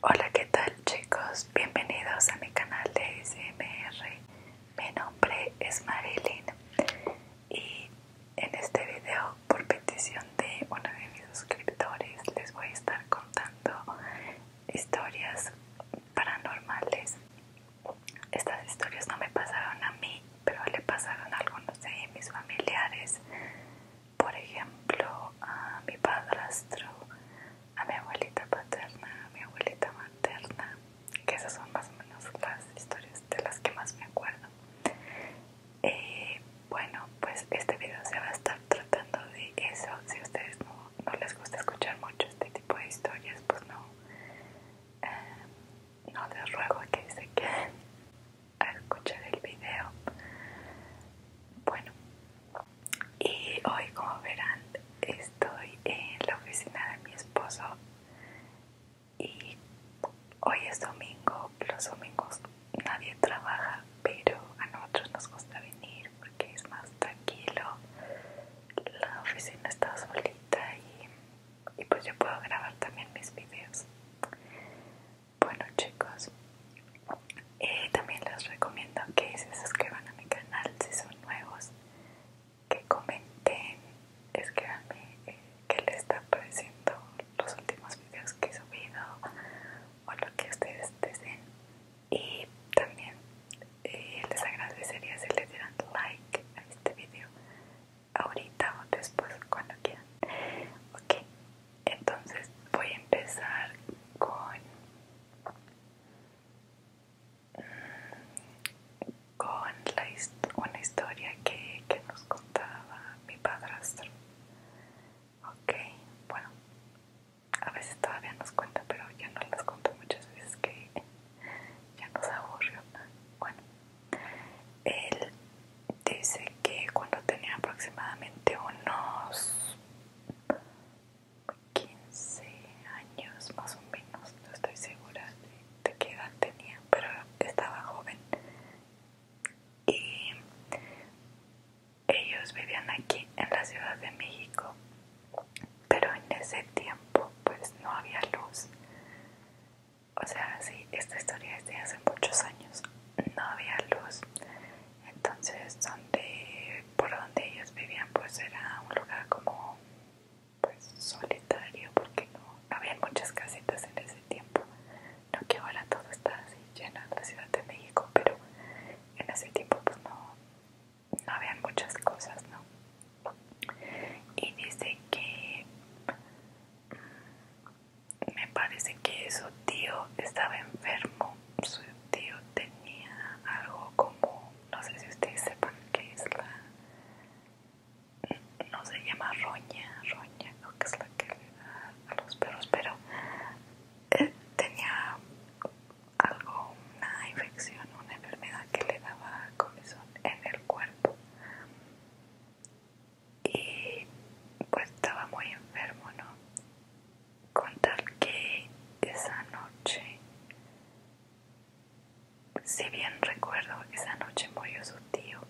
Hola, ¿qué tal chicos? Bienvenidos a mi canal de SMR. Mi nombre es Marilyn y en este video, por petición de uno de mis suscriptores, les voy a estar contando historias paranormales. Estas historias no me pasaron a mí, pero le pasaron a algunos de mis familiares por ejemplo, a mi padrastro, a mi abuelita paterna, a mi abuelita materna, que esas son más o menos las historias de las que más me acuerdo. Y eh, bueno, pues este video se va a estar tratando de eso. Si a ustedes no, les gusta escuchar mucho este tipo de historias, pues no, eh, no les ruego que se queden a escuchar el video. Bueno, y hoy como verán estoy en la oficina de mi esposo y hoy es domingo, los domingos nadie trabaja pero a nosotros nos gusta venir porque es más tranquilo, la oficina está solita y, y pues yo puedo grabar también mis videos. Bueno chicos, eh, también les recomiendo que se suscriban a mi canal si son nuevos, que comenten, escríbanme eh, qué les está pareciendo los últimos videos que he subido o lo que ustedes deseen. Y también eh, les agradecería si le dieran like a este video ahorita o después cuando quieran. Ok, entonces voy a empezar con con la, una historia que, nos contaba mi padrastro. Ok, bueno, a veces todavía nos cuenta, pero ya no las cuento muchas veces que ya nos aburrió. Bueno, él dice que cuando tenía aproximadamente unos 15 años más o menos, no estoy segura de, qué edad tenía, pero estaba joven. Y ellos vivían aquí en la Ciudad de México, pero en ese tiempo pues no había luz. O sea, sí, esta historia es de hace muchos años. No había luz entonces donde por donde ellos vivían pues era un lugar como pues, solitario porque no había muchas casitas en ese tiempo no que ahora todo está así lleno en la Ciudad de México pero en ese tiempo pues, no no muchas cosas no y dice que mm, me parece que su tío estaba enfermo tío tenía algo como, no sé si ustedes sepan qué es la, no se llama roña, roña, que es la que le da a los perros, pero eh, tenía algo, una infección, una enfermedad que le daba comezón en el cuerpo y pues estaba muy enfermo, ¿no? contar que esa noche, si bien recuerdo, esa noche murió su tío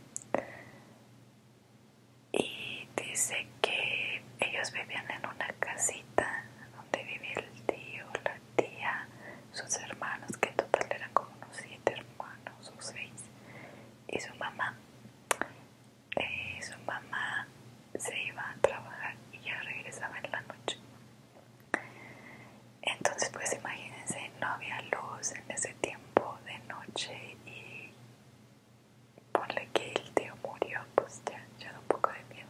y dice que ellos vivían en una casita donde vivía el tío, la tía, sus hermanos, que en total eran como unos siete hermanos o seis, y su mamá. Eh, su mamá se iba a trabajar y ya regresaba en la noche. Entonces pues imagínense, no había luz en ese tiempo de noche y ponle que el tío murió, pues ya, da un poco de miedo,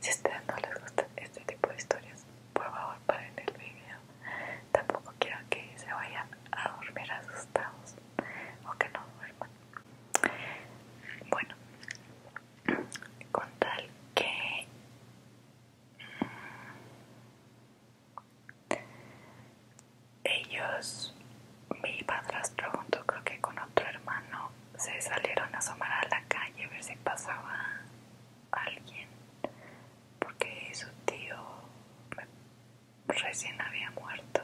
Si a ustedes no les gustan este tipo de historias, por favor paren el video. Tampoco quiero que se vayan a dormir asustados o que no duerman. Bueno, con tal que mm, ellos, mi padrastro junto creo que con otro hermano, se salieron a asomar a la calle a ver si pasaba alguien, porque su tío recién había muerto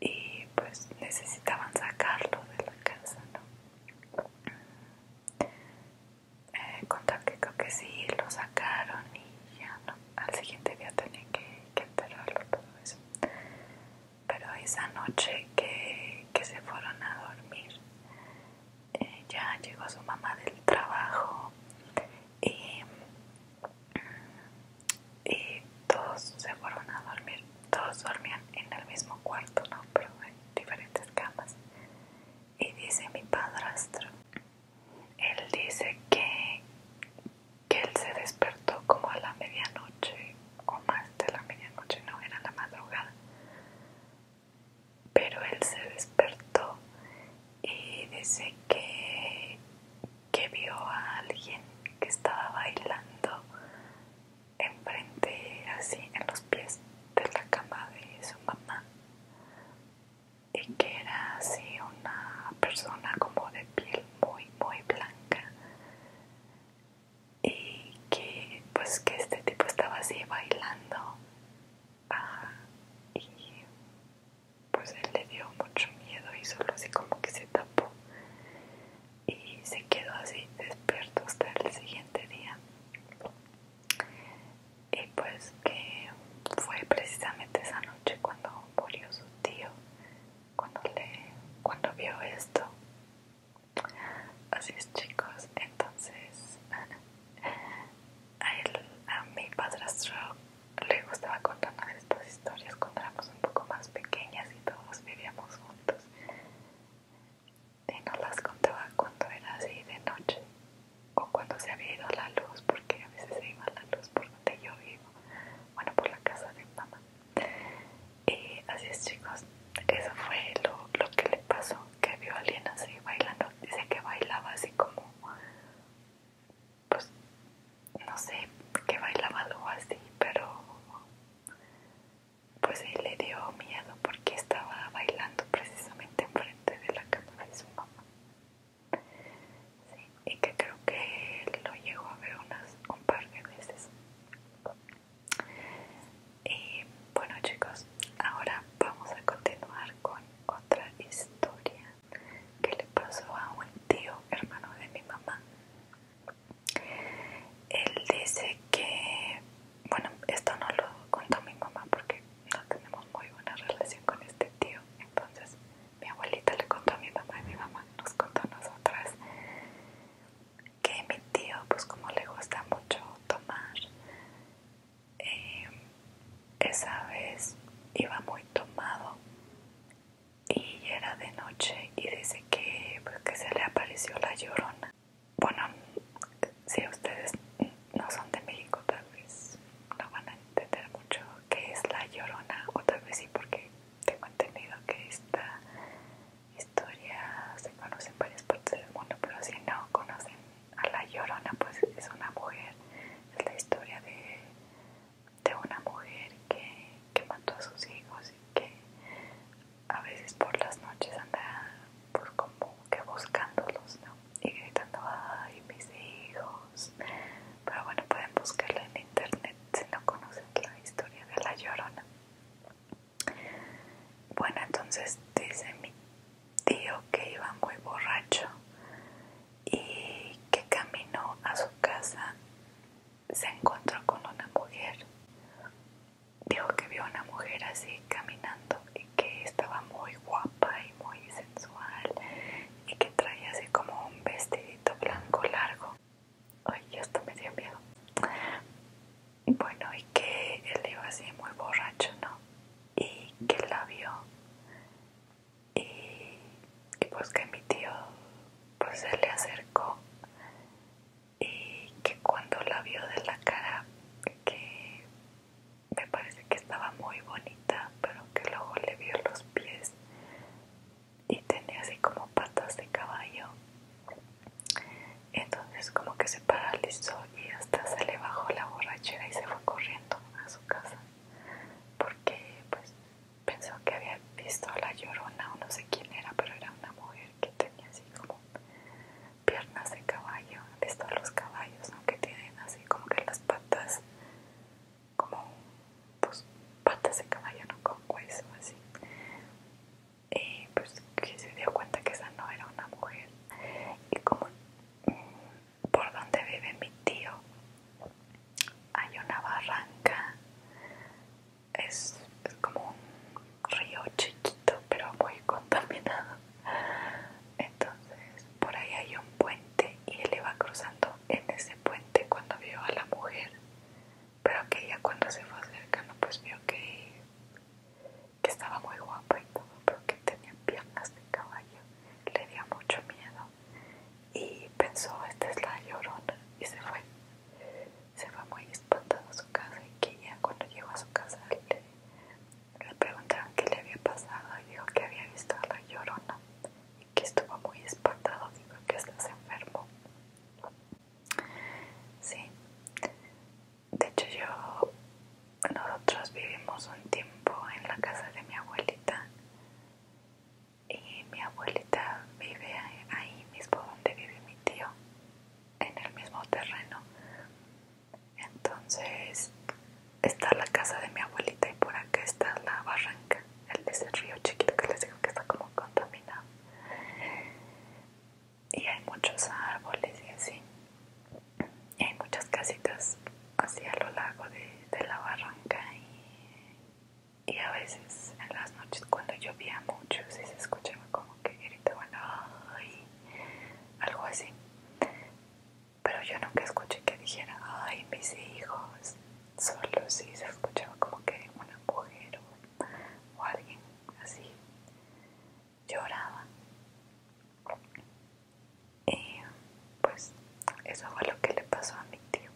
y pues necesitaban sacarlo de la casa, ¿no? Eh, contar que creo que sí, lo sacaron y ya no, al siguiente día tenía que, enterarlo todo eso. Pero esa noche que, se fueron a dormir, eh, ya llegó su mamá del trabajo y y todos se fueron a dormir. Todos dormían en el mismo cuarto, ¿no? Pero en diferentes camas. Y dice mi padrastro, él dice que, que él se despertó como a la medianoche o más de la medianoche, no, era la madrugada. Pero él se despertó y dice que, que vio a alguien que estaba bailando enfrente, así en los pies de la cama de su mamá y que era así una persona como de piel muy muy blanca y que pues que este tipo estaba así bailando y pues él le dio mucho miedo y solo así como que se tapó y se quedó así despierto hasta el siguiente día y pues que fue precisamente esa noche cuando murió su tío cuando le cuando vio esto así es chicos entonces a, a mi padrastro le gustaba contarnos estas historias cuando éramos un poco más pequeñas y todos vivíamos juntos. Y no las contaba cuando era así de noche o cuando se había ido la luz, porque a veces se iba la luz por donde yo vivo, bueno, por la casa de mamá. Y así es, chicos, eso fue lo, lo que le pasó, que vio a alguien así bailando. Dice que bailaba así como pues no sé qué bailaba algo así pero pues él le dio miedo porque estaba bailando precisamente enfrente de la cama de su mamá y que creo que lo llegó a ver unas un par de veces y bueno chicos ahora vamos a continuar con otra historia que le pasó a un tío hermano de mi mamá él dice que, bueno, esto no lo contó mi mamá porque no tenemos muy buena relación con este tío. Entonces, mi abuelita le contó a mi mamá y mi mamá nos contó a nosotras que mi tío, pues como le gusta mucho tomar, eh, esa vez iba muy tomado y era de noche y dice que, pues, que se le apareció la llorona. Bueno, si ustedes no son de México tal vez no van a entender mucho qué es la llorona o tal vez sí porque tengo entendido que esta historia se conoce en varias partes del mundo, pero si no conocen a la llorona pues es una mujer, es la historia de de una mujer que, mató a sus hijos y que a veces por las noches anda por pues, como que buscándolos, Y gritando, ay, mis hijos. Pero bueno, pueden buscarla en internet si no conocen la historia de la llorona. Bueno, entonces dice mi tío que iba muy borracho y que caminó a su casa se encontró con una mujer. Dijo que vio a una mujer así caminando y que estaba muy guapa y muy sensual y que traía así como un vestidito blanco largo. Ay, esto me dio miedo. Bueno, y que él iba así muy borracho, ¿no? Y que la vio. Y, que pues que mi tío pues se le acercó y que cuando la vio de la cara que me parece que estaba muy bonita pero que luego le vio los pies y tenía así como patas de caballo entonces como que se paralizó y hasta se le bajó la borrachera y se fue corriendo a su casa porque pues Pensó que había visto a la llorona o no sé quién era, pero era una mujer que tenía así como piernas de caballo. Han visto los caballos, ¿no? Que tienen así como que las patas, como pues patas de caballo, no con hueso, así. Y pues que se dio cuenta que esa no era una mujer. Y como mm, por donde vive mi tío hay una barranca es, como un río chiquito pero muy contaminado entonces por ahí hay un puente y él iba cruzando en ese puente cuando vio a la mujer pero que ella cuando se fue acercando pues vio que, que estaba muy guapa y todo pero que tenía piernas de caballo le dio mucho miedo y pensó esta es la llorona y se fue se fue muy espantado a su casa y que ya cuando llegó a su casa le, preguntaron qué le había pasado y dijo que había visto a la llorona y que estuvo muy espantado, dijo que estás enfermo. Sí, de hecho yo, nosotros vivimos un tiempo en la casa de mi abuelita y eh, mi abuelita vive ahí mismo donde vive mi tío, en el mismo terreno. Entonces está la casa de mi abuelita y por acá está la barranca, el de río chiquito que les digo que está como contaminado. Y hay muchos árboles y así. Y hay muchas casitas así a lo largo de, de la barranca y y a veces en las noches cuando llovía mucho sí se escuchaba como que gritaban ay algo así pero yo nunca escuché que dijera ay mis hijos solo sí se escuchaba como que una mujer o alguien así lloraba y pues eso fue lo que le pasó a mi tío